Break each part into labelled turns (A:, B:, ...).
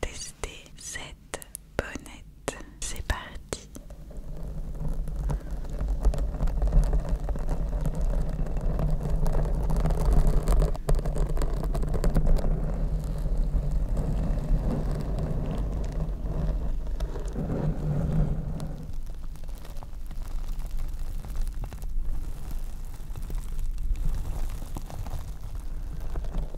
A: tester cette bonnette. C'est parti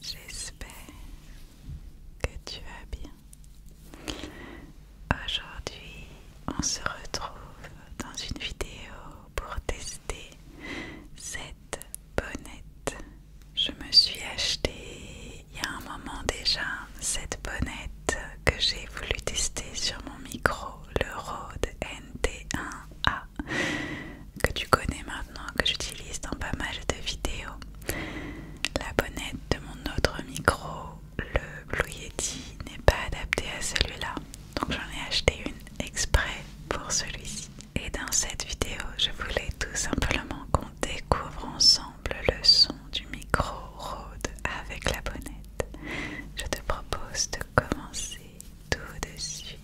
A: J'espère que tu vas bien. Aujourd'hui, on se retrouve dans une vidéo pour tester cette bonnette. Je me suis acheté il y a un moment déjà cette bonnette que j'ai voulu tester sur mon micro, le Rode NT1 que tu connais maintenant, que j'utilise dans pas mal de vidéos. La bonnette de mon autre micro, le Blue Yeti, n'est pas adaptée à celui-là. Donc j'en ai acheté une exprès pour celui-ci. Et dans cette vidéo, je voulais tout simplement qu'on découvre ensemble le son du micro Rode avec la bonnette. Je te propose de commencer tout de suite.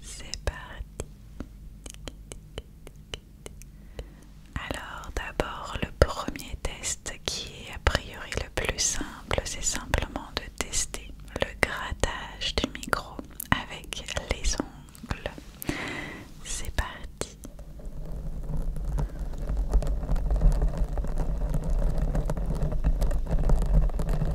A: C'est parti. Alors d'abord le premier test qui est a priori le plus simple, c'est simplement de tester le grattage du micro avec les ongles. C'est parti.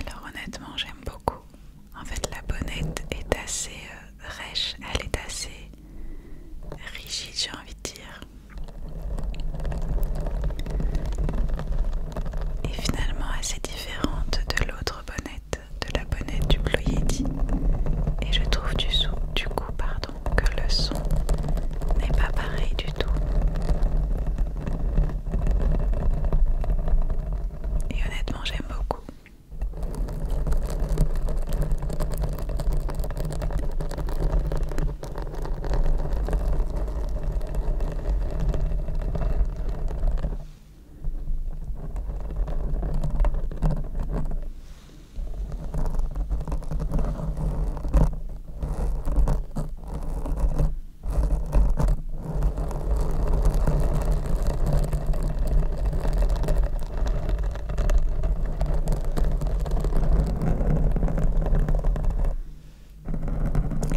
A: Alors honnêtement j'aime beaucoup. En fait la bonnette est assez euh, rêche, elle est assez rigide j'ai envie de dire. Et finalement assez différente de l'autre bonnette de la bonnette du Yeti et je trouve du, du coup pardon, que le son n'est pas pareil du tout. Et honnêtement j'aime beaucoup.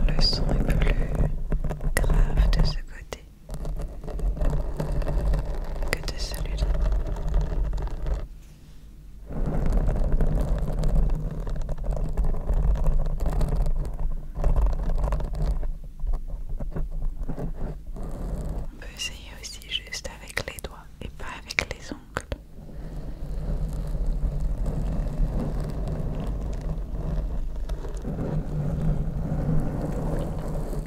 A: Le son est plus grave de ce côté que de On peut essayer aussi juste avec les doigts et pas avec les ongles.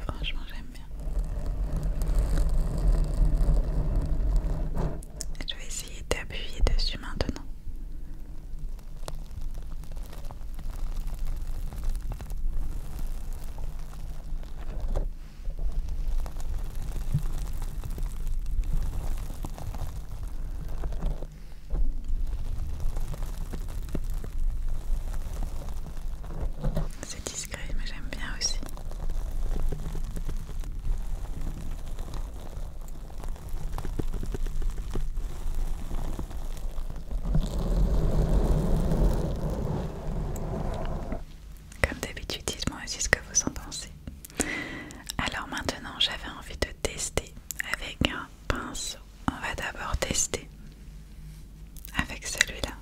A: Franchement, j'aime bien. Je vais essayer d'appuyer dessus maintenant. C'est discret, mais j'aime bien aussi. Comme d'habitude, dites-moi aussi ce que vous en pensez. Alors maintenant, j'avais envie de tester avec un pense On va d'abord tester avec celui-là.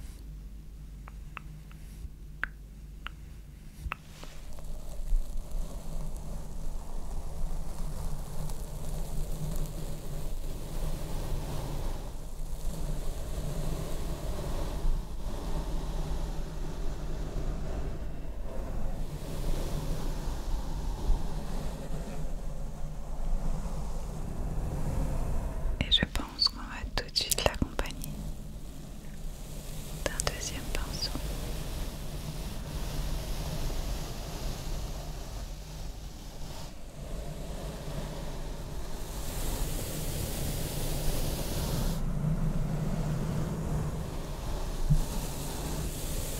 A: Et je pense qu'on va tout de suite l'accompagner d'un deuxième pinceau.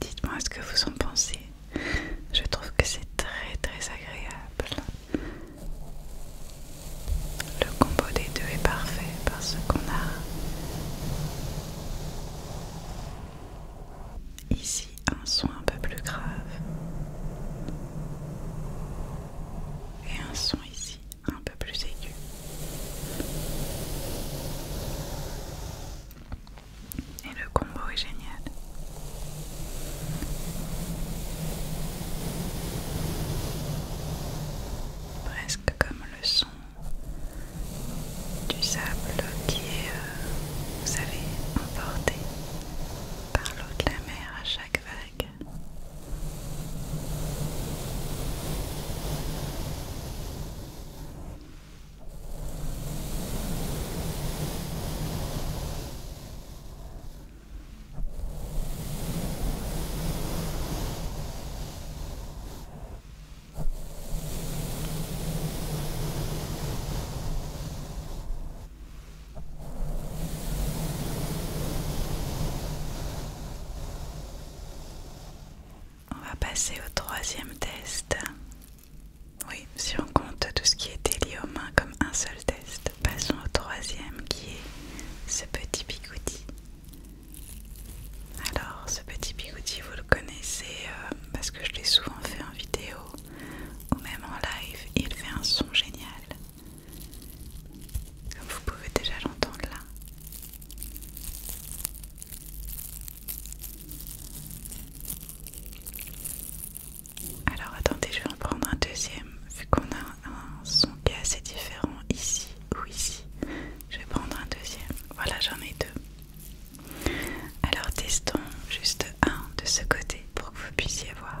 A: Dites-moi ce que vous en pensez. Je trouve que c'est très très agréable le combo des deux est parfait parce qu'on a ici un son un peu plus grave et un son ici un peu plus aigu. Et le combo est génial. Presque comme le son du sable qui est, euh, vous savez, emporté par l'eau de la mer à chaque vague. On va passer au troisième test. Oui, si on compte tout ce qui était lié aux mains comme un seul test passons au troisième qui est ce petit bigoudi. Alors, ce petit bigoudi, vous le connaissez euh, parce que je l'ai souvent fait en vidéo ou même en live. Il fait un son génial. Comme vous pouvez déjà l'entendre là. Alors attendez, je vais en prendre un deuxième, vu qu'on a un son qui est assez différent ici ou ici. Je vais prendre un deuxième. Voilà, j'en ai deux. Alors testons juste un de ce côté pour que vous puissiez voir.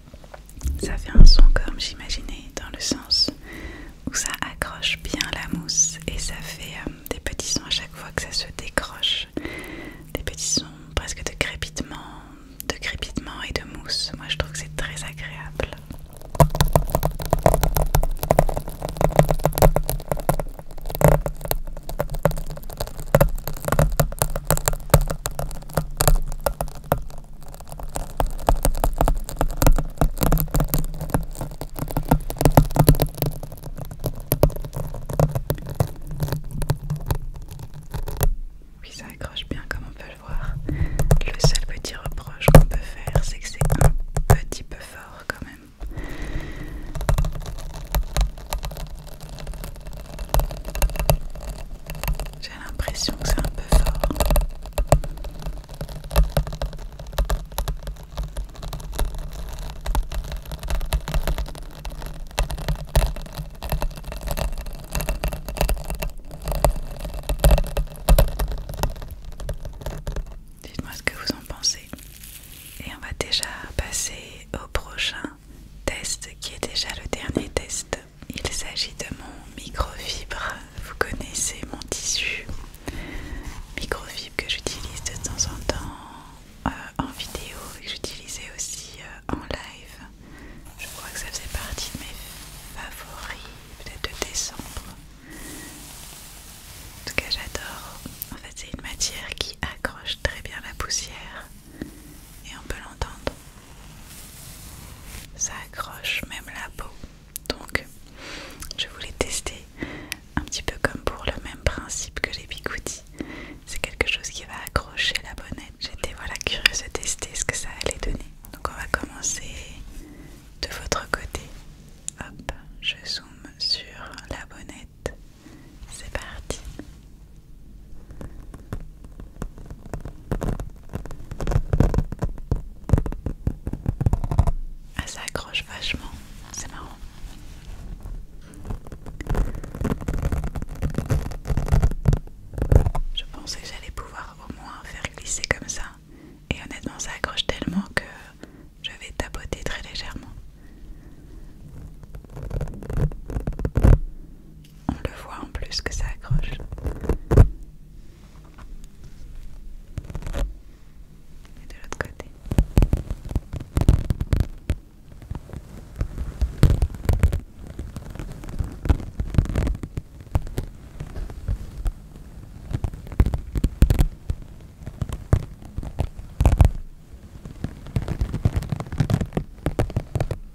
A: Ça fait un son comme j'imaginais, dans le sens où ça accroche bien la mousse et ça fait euh, des petits sons à chaque fois que ça se décroche. Des petits sons presque de crépitement, de crépitement et de mousse. Moi je trouve que c'est très agréable. Oui, ça accroche bien comme on peut le voir. Le seul petit reproche qu'on peut faire, c'est que c'est un petit peu fort quand même. J'ai l'impression que c'est un peu fort. Dites-moi ce que vous en pensez. Et on va déjà passer au prochain test qui est déjà le dernier test il s'agit de mon microfibre. Vous connaissez mon tissu microfibre que j'utilise de temps en temps euh, en vidéo et que j'utilisais aussi euh, en live. Je crois que ça faisait partie de mes favoris, peut-être de décembre. En tout cas, j'adore. En fait, c'est une matière qui accroche très bien la poussière et on peut l'entendre ça accroche même la peau donc je voulais tester un petit peu comme pour le même principe que les bigoudis c'est quelque chose qui va accrocher la bonnette j'étais voilà curieuse de tester ce que ça allait donner donc on va commencer de votre côté hop je zoome sur la bonnette c'est parti. Ah, ça accroche vachement, c'est marrant. Je pensais que j'allais pouvoir au moins faire glisser comme ça. Et honnêtement, ça accroche tellement que je vais tapoter très légèrement. On le voit en plus que ça accroche. de l'autre côté.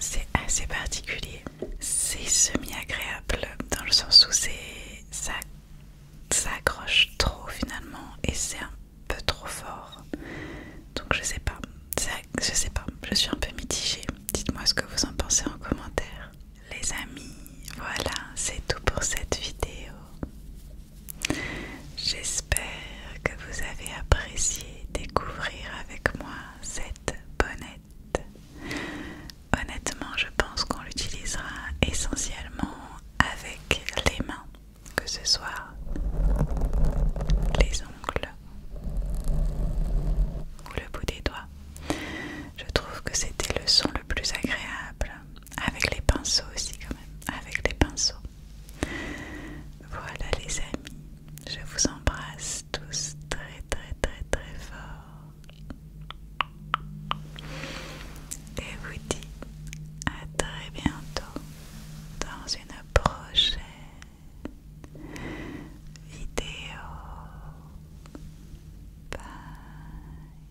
A: C'est assez particulier. C'est semi-agréable dans le sens où ça, ça accroche trop finalement et c'est un peu trop fort. Donc je sais pas. Je sais pas. Je suis un peu mitigée. Dites-moi ce que vous en pensez en commentaire les amis, voilà, c'est tout pour cette vidéo. J'espère que vous avez apprécié découvrir avec moi cette bonnette. Honnêtement, je pense qu'on l'utilisera essentiellement avec les mains, que ce soit les ongles ou le bout des doigts. Je trouve que c'était le son le plus agréable avec les pinceaux aussi quand même, avec les pinceaux. Voilà les amis, je vous embrasse tous très très très très fort. Et vous dis à très bientôt dans une prochaine vidéo. Bye.